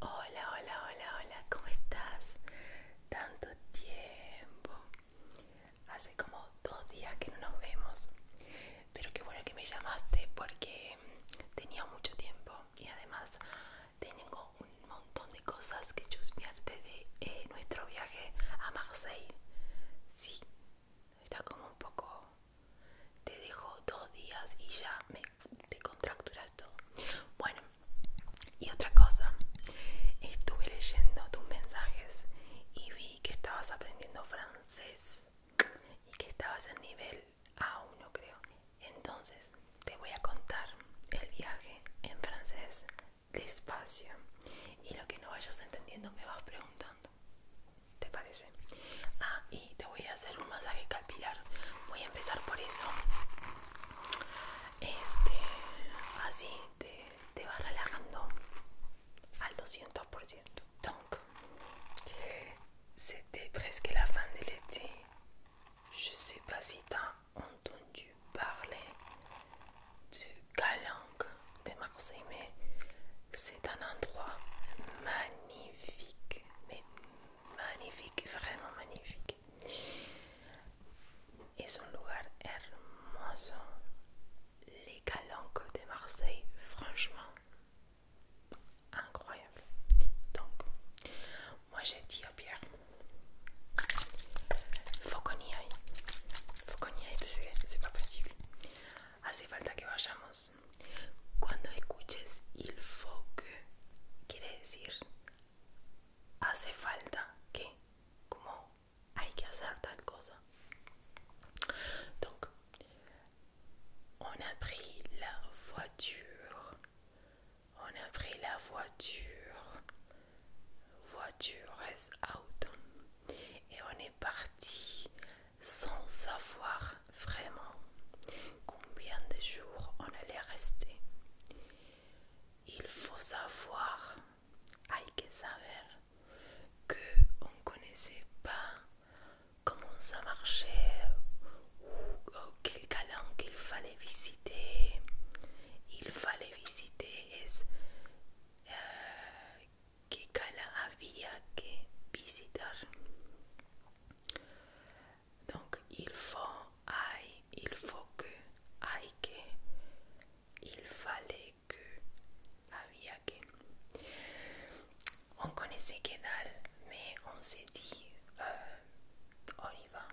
Hola, hola, hola, hola, ¿cómo estás? Tanto tiempo. Hace como dos días que no nos vemos. Pero qué bueno que me llamaste porque tenía mucho tiempo y además tengo un montón de cosas que chuspiarte de eh, nuestro viaje a Marseille. Sí, está como un poco... Te dejo dos días y ya me te contracturas todo. Bueno, y otra cosa, estuve leyendo tus mensajes y vi que estabas aprendiendo francés y que estabas en nivel A1 creo. Entonces te voy a contar el viaje en francés despacio y lo que no vayas entendiendo me vas preguntando. ¿Te parece? Ah, y te te voy a hacer un massage capillaire Je vais commencer par ça este así te, te va relajando al 200% donc c'était presque la fin de l'été je sais pas si t'as entendu parler du Galang de Marseille mais c'est un endroit magnifique mais Magnifique, vraiment magnifique. Et un lugar hermoso. Les calanques de Marseille, franchement, incroyable. Donc, moi j'ai dit à Pierre, faut qu'on y aille. Faut qu'on y aille parce que c'est pas possible. Hace falta que vayamos quand écoutes, il faut que veut dire hace falta que, que faire Donc, on a pris la voiture, on a pris la voiture, voiture est auto, et on est parti sans savoir vraiment combien de jours on allait rester. Il faut savoir, hay que saber, que on ne connaissait pas comment ça marchait ou, quel calan qu'il fallait visiter. Il fallait visiter es euh, que calan había que visitar. Donc il faut aille, il faut que aïe, il fallait que aïe, que. On connaissait Kedal mais on s'est dit euh, on y va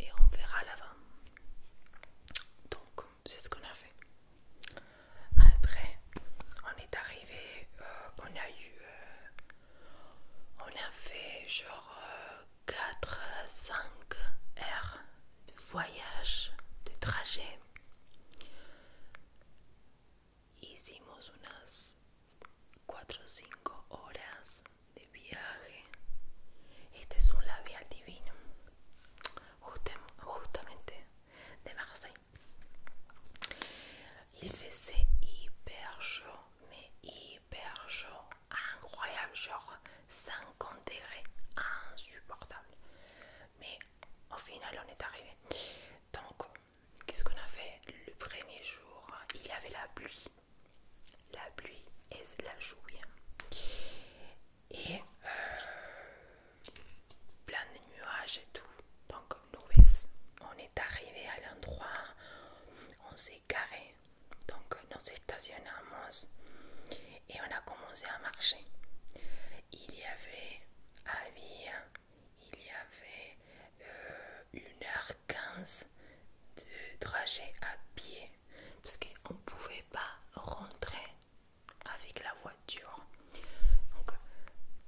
et on verra l'avant. Donc c'est ce qu'on a fait. Après, on est arrivé, euh, on a eu euh, on a fait genre 4, euh, 5 heures de voyage, de trajet. Hicimos unas 4 5 heures de voyage Este es un labial divino, justement de Marseille. Il faisait hyper chaud, mais hyper chaud, incroyable, genre 50 degrés, insupportable. Mais au final, on est arrivé. Donc, qu'est-ce qu'on a fait le premier jour Il y avait la pluie, la pluie et la chouille. Et euh, plein de nuages et tout. Donc, on est arrivé à l'endroit, on s'est carré donc nous stationnons et on a commencé à marcher. Il y avait, vie, il y avait 1h15 euh, de trajet à pied parce qu'on ne pouvait pas rentrer avec la voiture. Donc,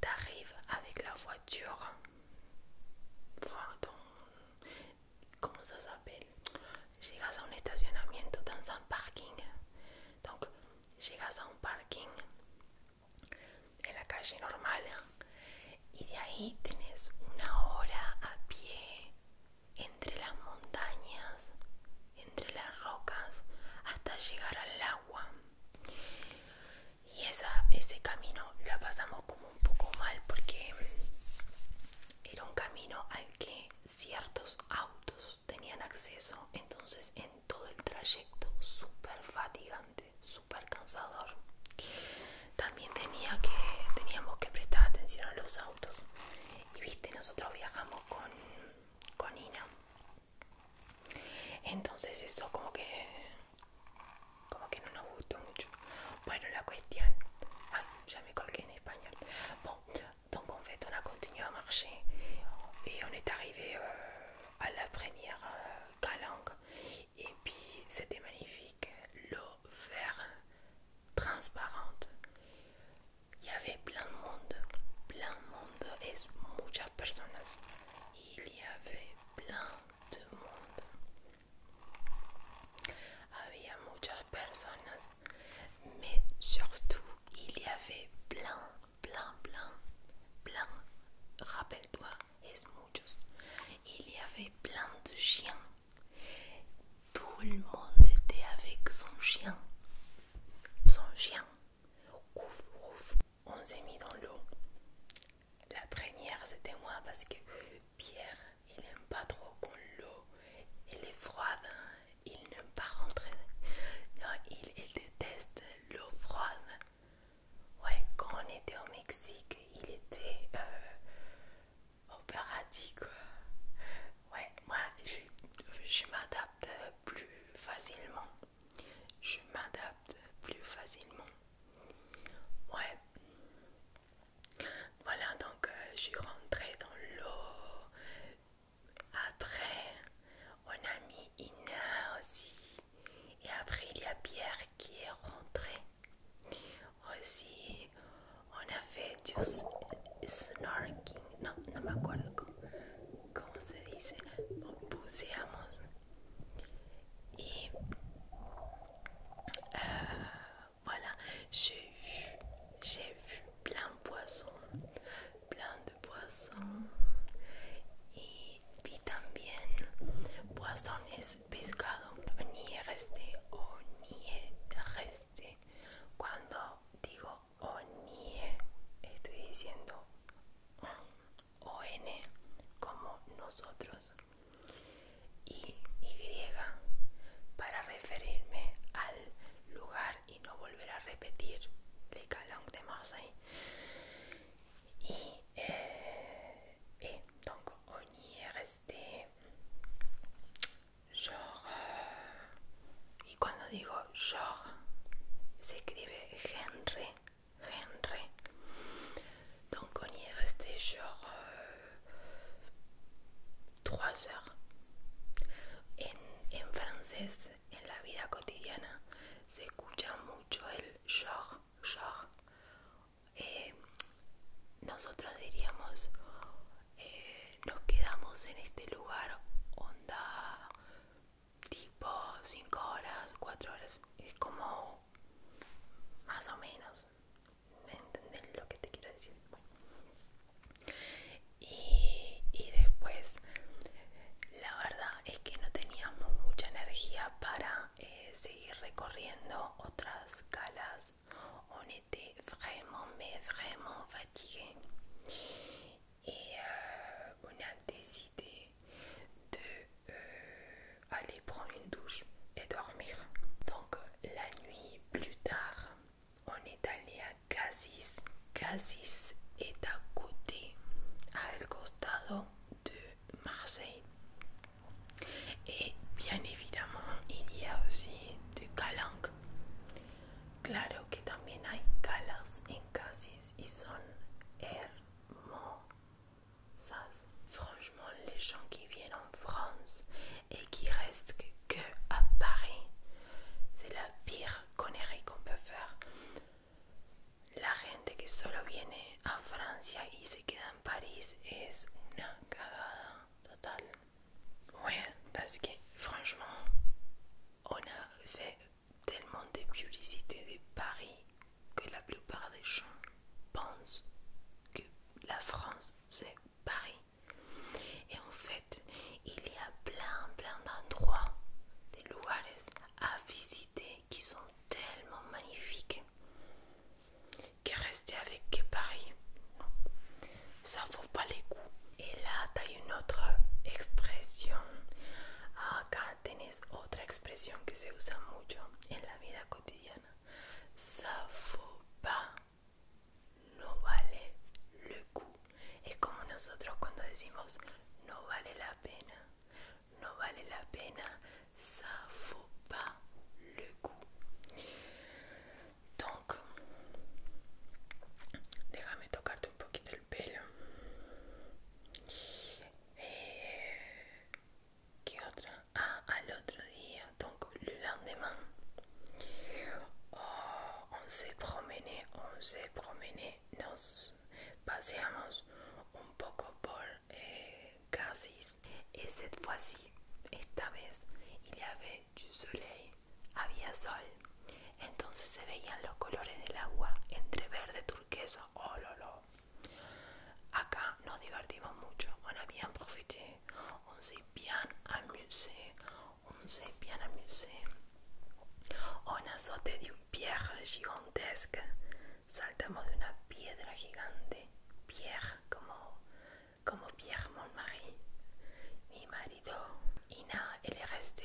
t'arrives avec la voiture ¿Cómo se s'appelle Llegas a un estacionamiento, tan san parking. llegas a un parking en la calle normal y de ahí tenés una hora a pie entre las montañas, entre las rocas, hasta llegar al agua y esa, ese camino la pasamos como un poco mal porque era un camino al que ciertos autos tenían acceso entonces en todo el trayecto súper fatigante súper cansador también tenía que teníamos que prestar atención a los autos y viste nosotros viajamos con Ina que que la cuestión... me en donc en fait on a continué à marcher et on est arrivé euh, à la première euh, calanque et puis c'était magnifique. L'eau verte transparente. Il y avait plein de monde, plein de monde et muchas personas. Il y avait plein de monde Había de personnes, mais surtout il y avait plein, plein, plein, plein. Rappelle-toi, es muchos. Il y avait plein de chiens. Tout le monde était avec son chien. Son chien. Ouf, ouf on s'est mis dans l'eau. La première c'était moi parce que Pierre il n'aime pas trop quand l'eau elle est froide, hein. il n'aime pas rentrer. Non, il, déteste l'eau froide. Ouais, quand on était au Mexique, il était euh, au paradis quoi. Ouais, moi je m'adapte plus facilement je m'adapte plus facilement. Ouais. Voilà, donc euh, je suis rentrée dans l'eau. Après, on a mis Ina aussi. Et après, il y a Pierre qui est rentré. Aussi, on a fait du snorking. Non, non, ma quoi, comment ça dit Pousser à mon Y, eh, voilà, j'ai vu, j'ai vu plein de poissons, plein de poissons. Y vi también es pescado. Ni reste o ni reste. Cuando digo o estoy diciendo o N como nosotros y Y para referirme al lugar y no volver a repetir Le Calang de Marseille y, eh, eh, donc y y cuando digo genre se escribe Henry Henry. Donc on y resté genre 3 euh, heures. En, en francés, en la vida cotidiana, se escucha mucho el genre, genre. Eh, nosotros diríamos, eh, nos quedamos en este lugar, onda, tipo 5 horas, 4 horas, es como más o menos, entender lo que te quiero decir? Y, después, la verdad es que no teníamos mucha energía para eh, seguir recorriendo otras calas. On était vraiment, me vraiment fatigué. Y eh, de euh, aller prendre une douche et dormir. Donc la nuit plus tard, on est allé à Casis. Casis est à côté, al costado de Marseille. Et bien évidemment, il y a aussi du calanque. Claro que también hay calas en Casis y son mon Franchement, les gens qui viennent en France et qui restent que à Paris, c'est la pire connerie qu'on peut faire. La gente que solo viene a Francia y se queda en Paris es una cagada totale. Ouais, parce que franchement, on a fait tellement de publicités de Paris que la plupart des gens pensent que la France c'est Paris. Et en fait, il y a plein plein d'endroits, des lugares à visiter qui sont tellement magnifiques que rester avec Paris, ça vaut pas les coups. Et là, tu as une autre expression. à ah, tenés otra expresión que se usa mucho en la vida cotidiana. Ça pas, no vale le coup. Es como nosotros cuando decimos no vale la pena, no vale la pena, ça vaut pas le coup. déjame tocarte un poquito el pelo. Eh, ¿Qué otra? Ah, al otro día, donc le lendemain. Oh, on se promené, on s'est promené. Nos paseamos un poco por Garcís eh, Y cette fois-ci, esta vez, il y avait du soleil. Había sol. Entonces se veían los colores del agua entre verde turquesa. Oh, Acá nos divertimos mucho. On a bien profité. On s'est bien amuse On s'est bien amuse On a de un pierre gigantesca. Saltamos de una piedra gigante. Pierre, como, como Pierre Montmarie. Mi marido. Y nada, el resto.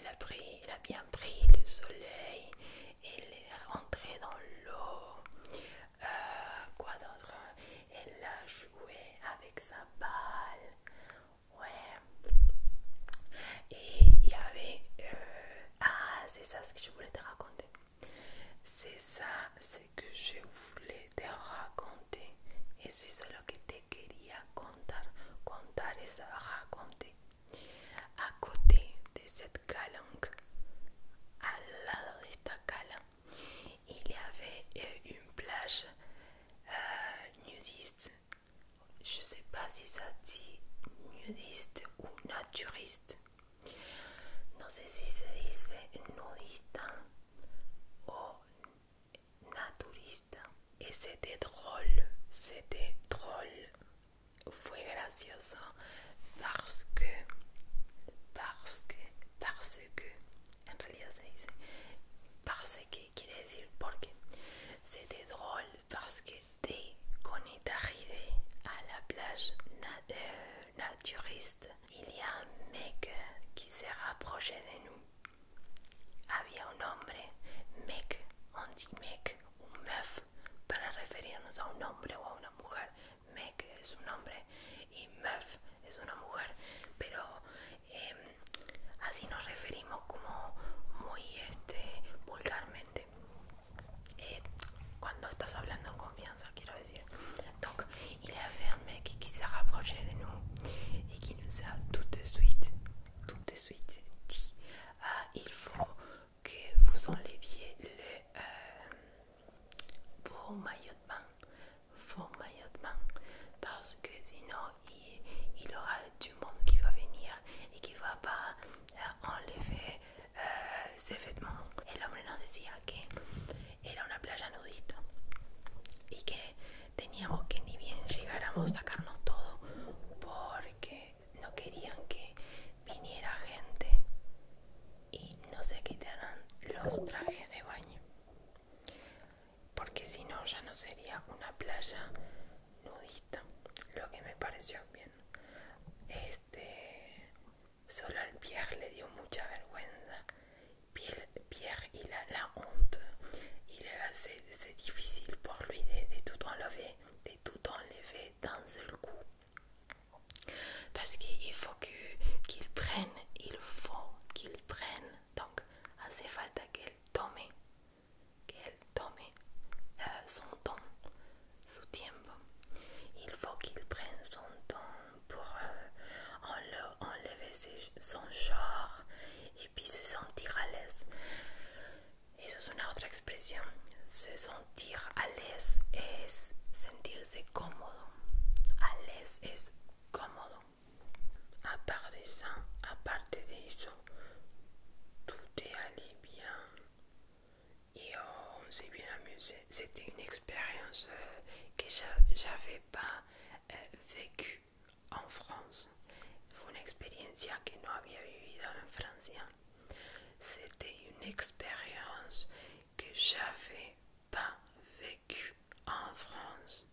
il, a a bien pris le soleil, il est rentré dans l'eau. quoi d'autre Elle a joué avec sa balle. Ouais. Et il y avait... ah, c'est ça ce que je voulais te raconter. C'est ça ce que je voulais te raconter. Et c'est cela que te quería à contar, contar et À côté de cette calanque, à lado de cette cala, il y avait euh, une plage euh, nudiste. Je ne sais pas si ça dit nudiste ou naturiste. Je ne sais si ça dit nudiste ou naturiste. Et c'était drôle, c'était drôle. Fue gracioso parce que, parce que, parce que, en realidad parce que, C'était drôle parce que dès qu'on est arrivé à la plage euh, naturiste, il y a un mec qui s'est rapproché de nous Había un hombre, mec, anti-mec, un meuf, para referirnos a un hombre o a una mujer. Mec es un hombre y meuf es una mujer, pero em, así nos referimos como muy este, vulgarmente. Eh, cuando estás hablando en confianza, quiero decir. Donc, y que un mec qui de nous y qui nous de suite tout de suite dit ah, il faut que vous enleviez le, pour euh, vos maillots de bain, parce que sinon il, il aura du monde qui va venir et qui va pas euh, enlever euh, ses vêtements. Et l'homme nous decía que era una playa nudista et que teníamos que ni bien llegáramos a sacarnos todo porque no querían que viniera gente y no se quitaran los trajes de baño porque si no ya no sería una playa nudista lo que me pareció bien este solo al Pierre le dio mucha vergüenza Pierre, il a la honte. C'est difficile pour lui de, tout enlever, de tout enlever d'un seul coup. Parce qu'il faut qu'il prenne, il faut qu'il prenne. Donc, assez à qu'elle tombe, qu'elle tombe euh, son temps, Il faut qu'il prenne son temps pour euh, enlever son genre et puis se sentir à l'aise. Et c'est une autre expression. Se sentir à l'aise sentir sentirse cómodo. À l'aise est cómodo. À part ça, à part ça, tout est allé bien. Et on s'est bien amusé. C'était une expérience euh, que que j'avais pas euh, vécue en France. une que C'était une expérience que j'avais pas vécue en France.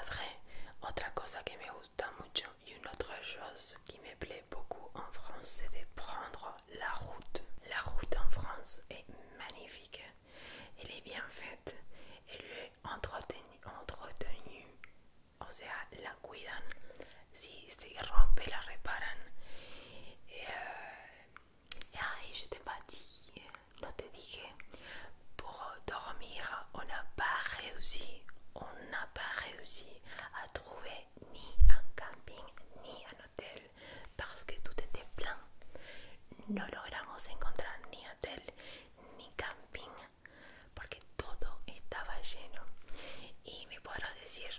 Après, autre chose que me une autre chose qui me plaît beaucoup en France, c'est de prendre la route. La route en France est magnifique. Elle est bien faite. Et le entretenu, entretenu o sea la cuidan si se rompe la reparan et je t'ai pas dit t'ai te dije pour dormir on n'a pas réussi on n'a pas réussi à trouver ni un camping ni un hôtel parce que tout était plein no logramos encontrar ni hotel ni camping porque todo estaba lleno y me podrás decir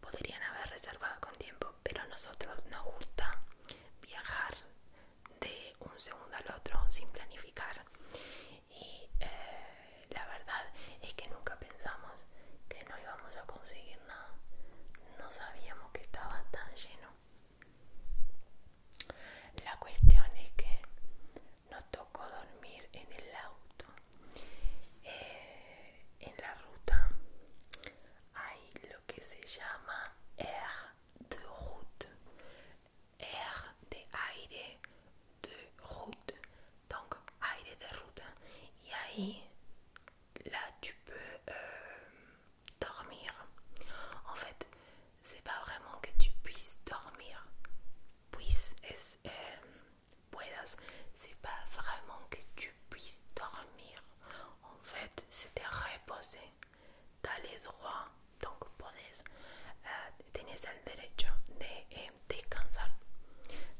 podrían haber reservado con tiempo pero a nosotros nos gusta viajar de un segundo al otro sin planificar y eh, la verdad es que nunca pensamos que no íbamos a conseguir nada no sabíamos que estaba tan lleno la cuestión es que no tocó dormir en el auto. Eh, en la ruta hay lo que se llama air de route. Air de aire de route. Donc aire de ruta. Y ahí, la tu euh, dormir. En fait, c'est pas vraiment que tu puisses dormir. Puisses, c'est pas vraiment que tu puisses dormir. En fait, c'est reposer. T'as les droits, donc pones, euh, tienes el de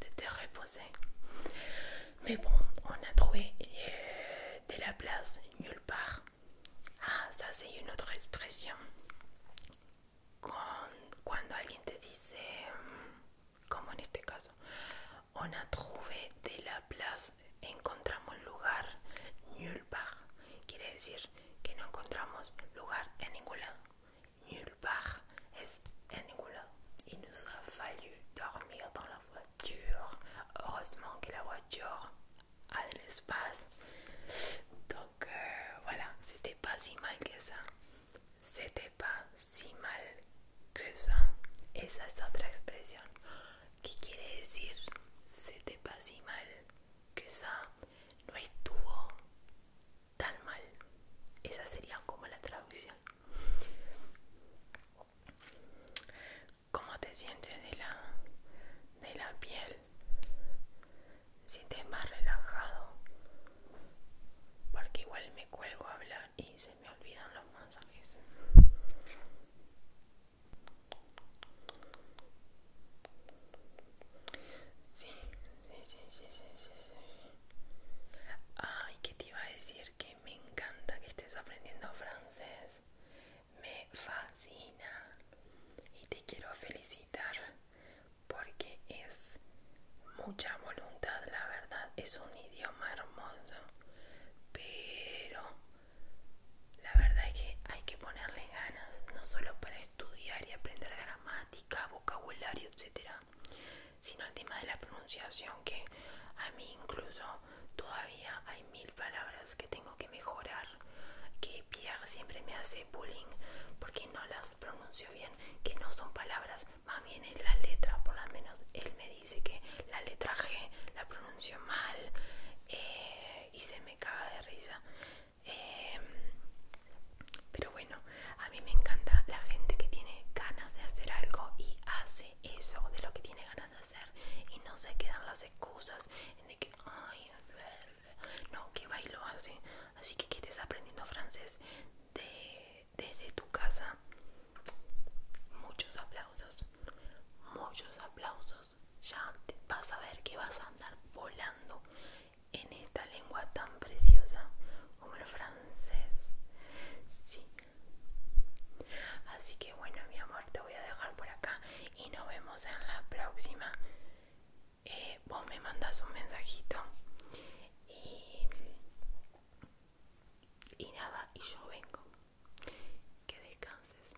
de te reposer. Mais bon, on a trouvé eh, de la place nulle part. Ah, ça c'est otra expresión. Cuando alguien te dice, mm, como en este caso, on a trouvé de la place, encontramos lugar nulle part. Quiere decir que no encontramos lugar en ningún lado. Nulle part es en ningún lado. Y nos ha fallu dormir en la voiture. Heureusement que la voiture al espacio Donc voilà, c'était pas si mal que ça. C'était pas si mal que ça. Esa es otra expresión que quiere decir c'était pas si mal que ça. No estuvo tan mal. Esa sería como la traducción cómo te sientes de la, de la piel, ¿Sientes más relajado, porque igual me cuelgo a hablar y se me olvidan los masajes. Sí, sí, sí, sí, sí, sí, Ay, que te iba a decir que me encanta que estés aprendiendo francés me fascina y te quiero felicitar porque es mucha voluntad, la verdad, es un idioma hermoso, pero la verdad es que hay que ponerle ganas, no solo para estudiar y aprender gramática, vocabulario, etcétera, sino el tema de la pronunciación que a mí incluso todavía hay mil palabras que tengo que mejorar, que Pierre siempre me hace bullying porque no las pronuncio bien, que no son palabras, más bien es la letra, por lo menos él me dice que la letra G la pronuncio mal eh, y se me caga de risa. Em, pero bueno, a mí me encanta la gente que tiene ganas de hacer algo y hace eso de lo que tiene ganas hacer y no se quedan las excusas de que ay no que bailo así así que que estés aprendiendo francés desde tu casa muchos aplausos muchos aplausos ya vas a ver que vas a andar volando en esta lengua tan preciosa como el francés sí Así que bueno, mi amor, te voy a dejar por acá y nos vemos en la próxima. Eh, vos me mandas un mensajito y, y nada, y yo vengo. Que descanses.